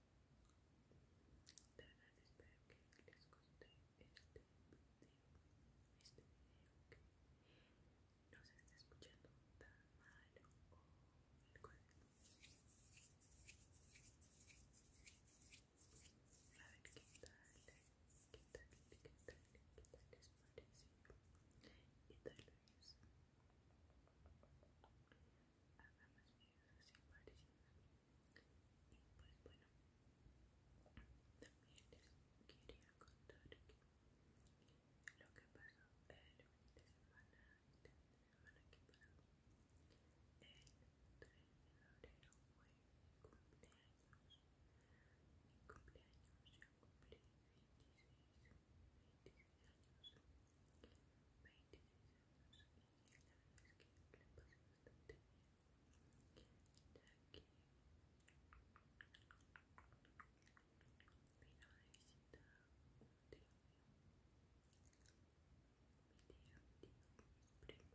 verdad espero que les guste este video, este video que no se esté escuchando tan mal o el cuerpo. A ver qué tal, qué tal, qué tal, qué tal les parece, qué tal es. Haga más videos así parecidos. Y pues bueno, también les quería contar que lo que pasó el fin de semana, este fin de semana que pasó, el 3 de febrero fue mi cumpleaños. Mi cumpleaños ya cumplí 26, 26 años. 26 años y la verdad es que le pasé bastante bien Jackie vino de visita un tío mío, mi tío, mi tío, primos, y la verdad me gustó que pues mi tío, me hubiera gustado que más de mis tíos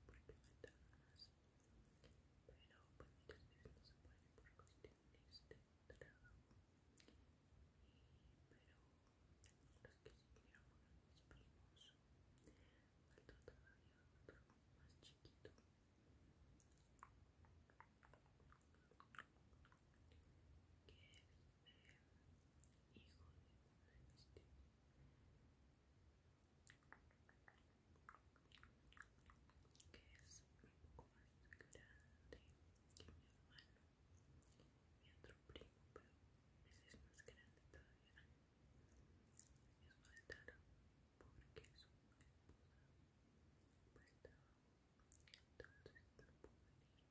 vinieran porque me dan más pero pues muchas veces no se puede por cuestiones de trabajo pero los que siguieron fueron mis primos faltó todavía otro más chiquito que es eh, hijo de una de que es un poco más grande que mi hermano mi otro primo pero ese es más grande todavía Es no estarán porque su esposa pues estaba entonces no pudo venir tampoco y por mis otros dos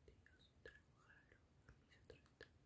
tíos trabajaron mis otros dos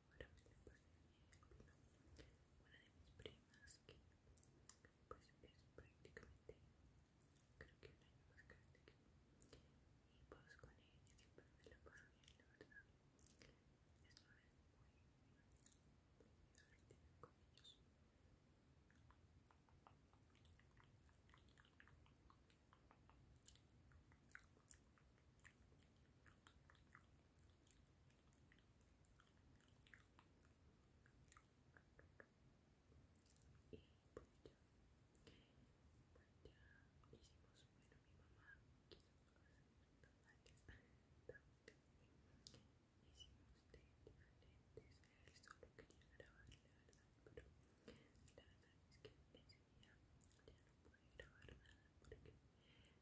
una de mis primas que pues es prácticamente creo que un año más grande que yo y pues con ella siempre me la paso bien la verdad es una vez muy, muy divertida con ellos y pues ya hicimos bueno mi mamá quiso pasar la tarde hicimos este entonces solo quería grabar la verdad pero la verdad es que ese día ya no pude grabar nada porque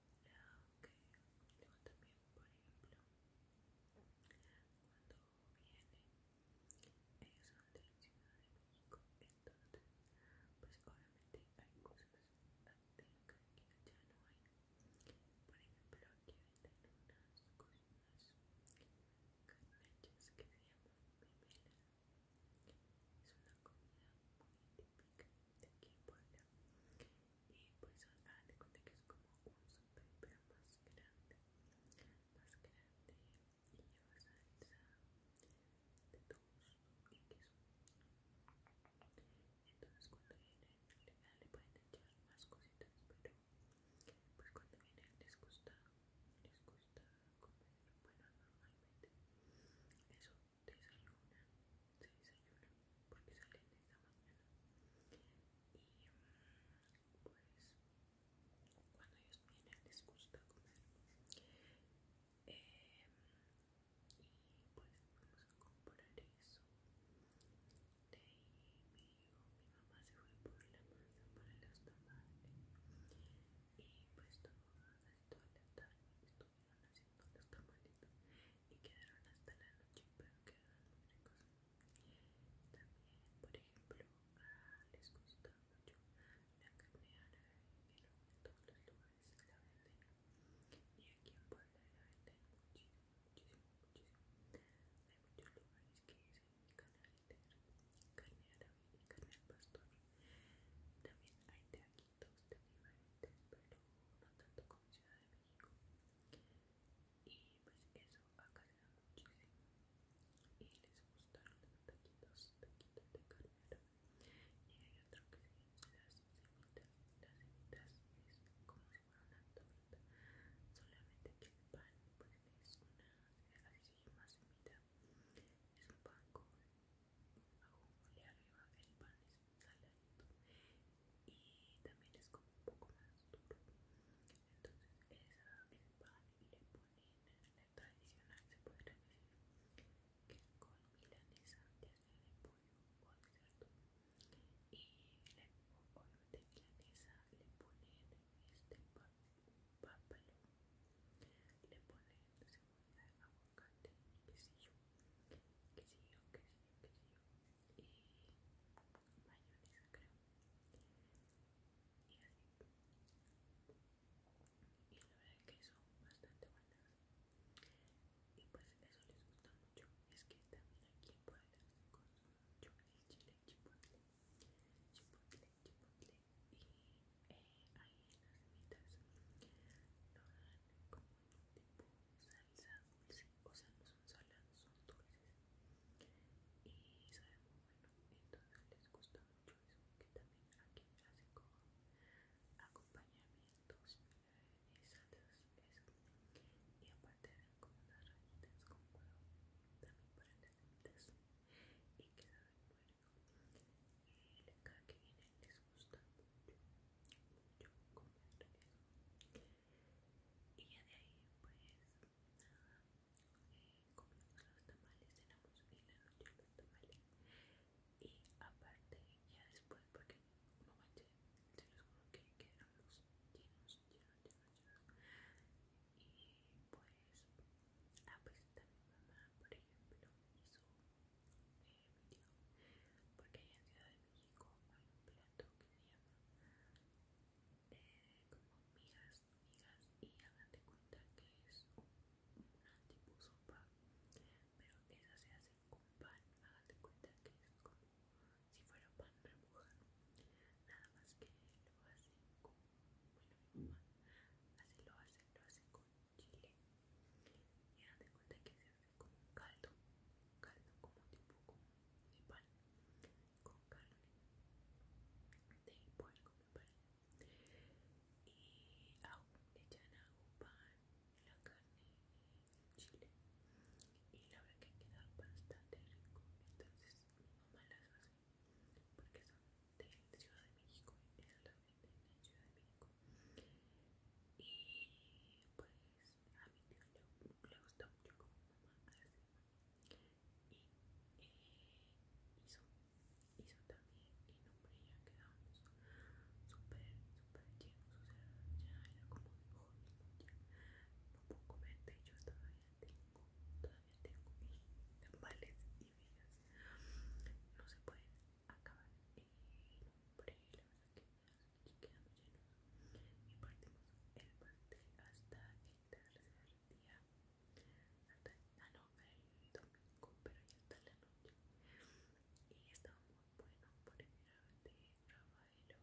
Luego también, por ejemplo, cuando viene, ellos son de la Ciudad de México, entonces, pues obviamente hay cosas de que ya no hay. Por ejemplo, aquí venden unas cosas que se llaman Es una comida muy típica de aquí en Puebla y pues ah te conté que es como un súper pero más grande más grande y lleva salsa de todos y queso entonces cuando vienen le pueden echar más cositas pero pues cuando vienen les gusta les gusta comer bueno normalmente eso desayuna, se desayuna porque salen esta mañana y pues cuando ellos vienen les gusta comer y pues vamos a comprar eso de mi mi mamá se fue por la masa para los tamales y pues todo, el toda tarde y quedaron hasta la noche, pero quedaron muy ricos. También, por ejemplo, les gusta mucho la carne árabe, pero en todos los lugares la venden. Y aquí en Puebla la venden muchísimo, muchísimo, muchísimo. Hay muchos lugares que dicen canal entero, carne árabe y carne al pastor. También hay de aquí todos de diferentes, pero no tanto como Ciudad de y pues eso acá se da Y les gustaron los taquitos, taquitos de carne Y hay otro que se llama las semitas. Las semitas es como si fuera una torta. Solamente que el pan pues es una, así se llama semita. Es un pan con y arriba. El pan y también es como un poco más duro entonces esa, el pan le ponen la tradicional se puede decir que con milanesa ya sea de pollo o de cerdo y de obviamente milanesa le ponen este pan le ponen de aguacate y que si yo, que si yo, que si yo y mayonesa creo y así y la verdad es que son bastante buenas y pues eso les gusta mucho es que también aquí en Puebla se consume mucho chile chipotle chipotle chipotle y eh, ahí en las semitas lo dan como tipo salsa dulce, o sea, no son son dulces. Y sabemos, muy bueno, entonces les gusta mucho eso, que también aquí hacen como acompañamientos eh, y eso. Y aparte de como las rayitas con huevo, también para entender niñitas, y que saben muy rico. El que viene les gusta mucho, mucho comer Y ya de ahí, pues nada, comimos los tamales, cenamos bien la noche los tamales. Y aparte, ya después, porque no manches, se los juro que quedaron los llenos, llenos, llenos, llenos. Y pues, ah, pues también mamá, por ejemplo, hizo porque en Ciudad de México hay un plato que se llama eh, como migas, y hagan de cuenta que es una tipo sopa, pero esa se hace con pan, hagan de cuenta que es como si fuera pan remojado, nada más que lo hacen con, bueno así lo hace, lo hace con chile y hagan cuenta que como caldo, caldo como tipo como de pan con carne de puerco me parece y aún echan agua pan, la carne chile y la verdad que queda bastante rico entonces mi mamá las hace porque son de Ciudad de México y de la Ciudad de México y pues a mí me le gusta mucho como mamá y eh, hizo, también y nombre ya quedamos súper súper llenos o sea ya era como un no puedo de yo todavía tengo todavía tengo mis tambales y vías no se pueden acabar el nombre y quedando llenos. Y partimos el pastel hasta el tercer día, hasta ah, no, el domingo, pero ya hasta la noche. Y estaba muy bueno, por primera vez de Y ven que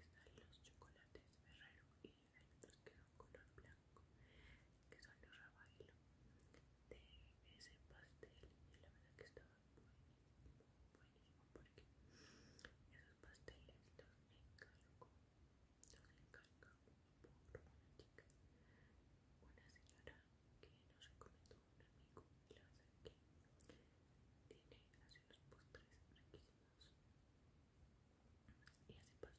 están los chocolates Ferrero y hay otros que son color blanco, que son los Rafael de ese pastel y la verdad que estaba buenísimo, buenísimo esos pasteles los encargo, los encargo por una chica, una señora que nos recomendó un amigo y la que tiene así unos postres marquísimos y hace pasteles, hace de todo y pues le gustó el pastel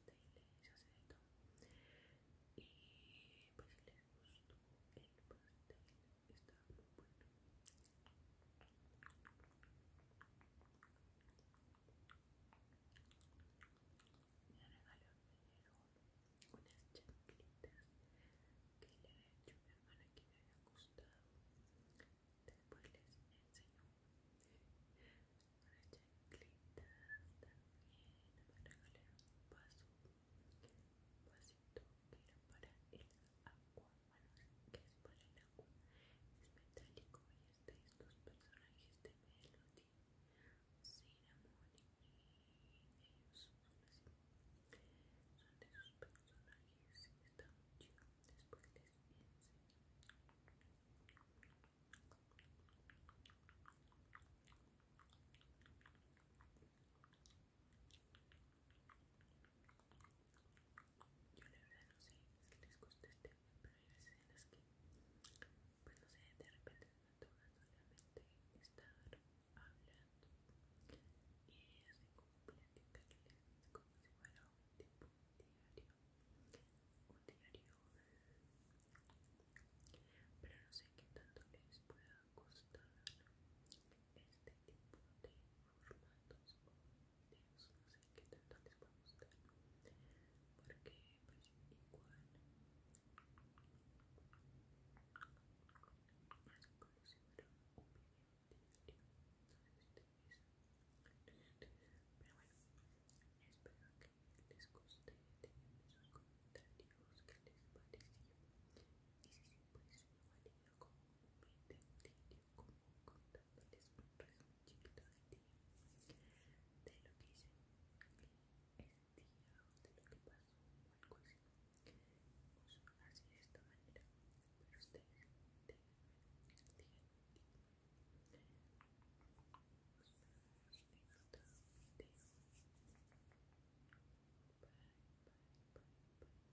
muy bueno me regalaron unas chanclitas que le había hecho mi hermana que le había gustado después les enseñó unas chanclitas también me regalaron un vaso un vasito que era para el agua bueno que el agua es metálico y estáis dos personajes de Melody, Cinnamon y ellos son de sus personajes y está muy después les enseño yo la verdad no sé si les gusta este tema, pero hay veces las que, pues no sé, de repente se me toca solamente estar hablando y así como platicarles como si fuera un tipo diario, un diario, pero no sé qué tanto les pueda costar este tipo de formatos o videos no sé qué tanto les va a gustar porque pues igual es como si fuera un video diario eso pero bueno espero que les guste tengan sus comentarios que les pareció y si sí, pues igual yo como un video diario como contándoles un chiquito de de lo que hice de lo que pasó o algo así. así de esta manera, pero ustedes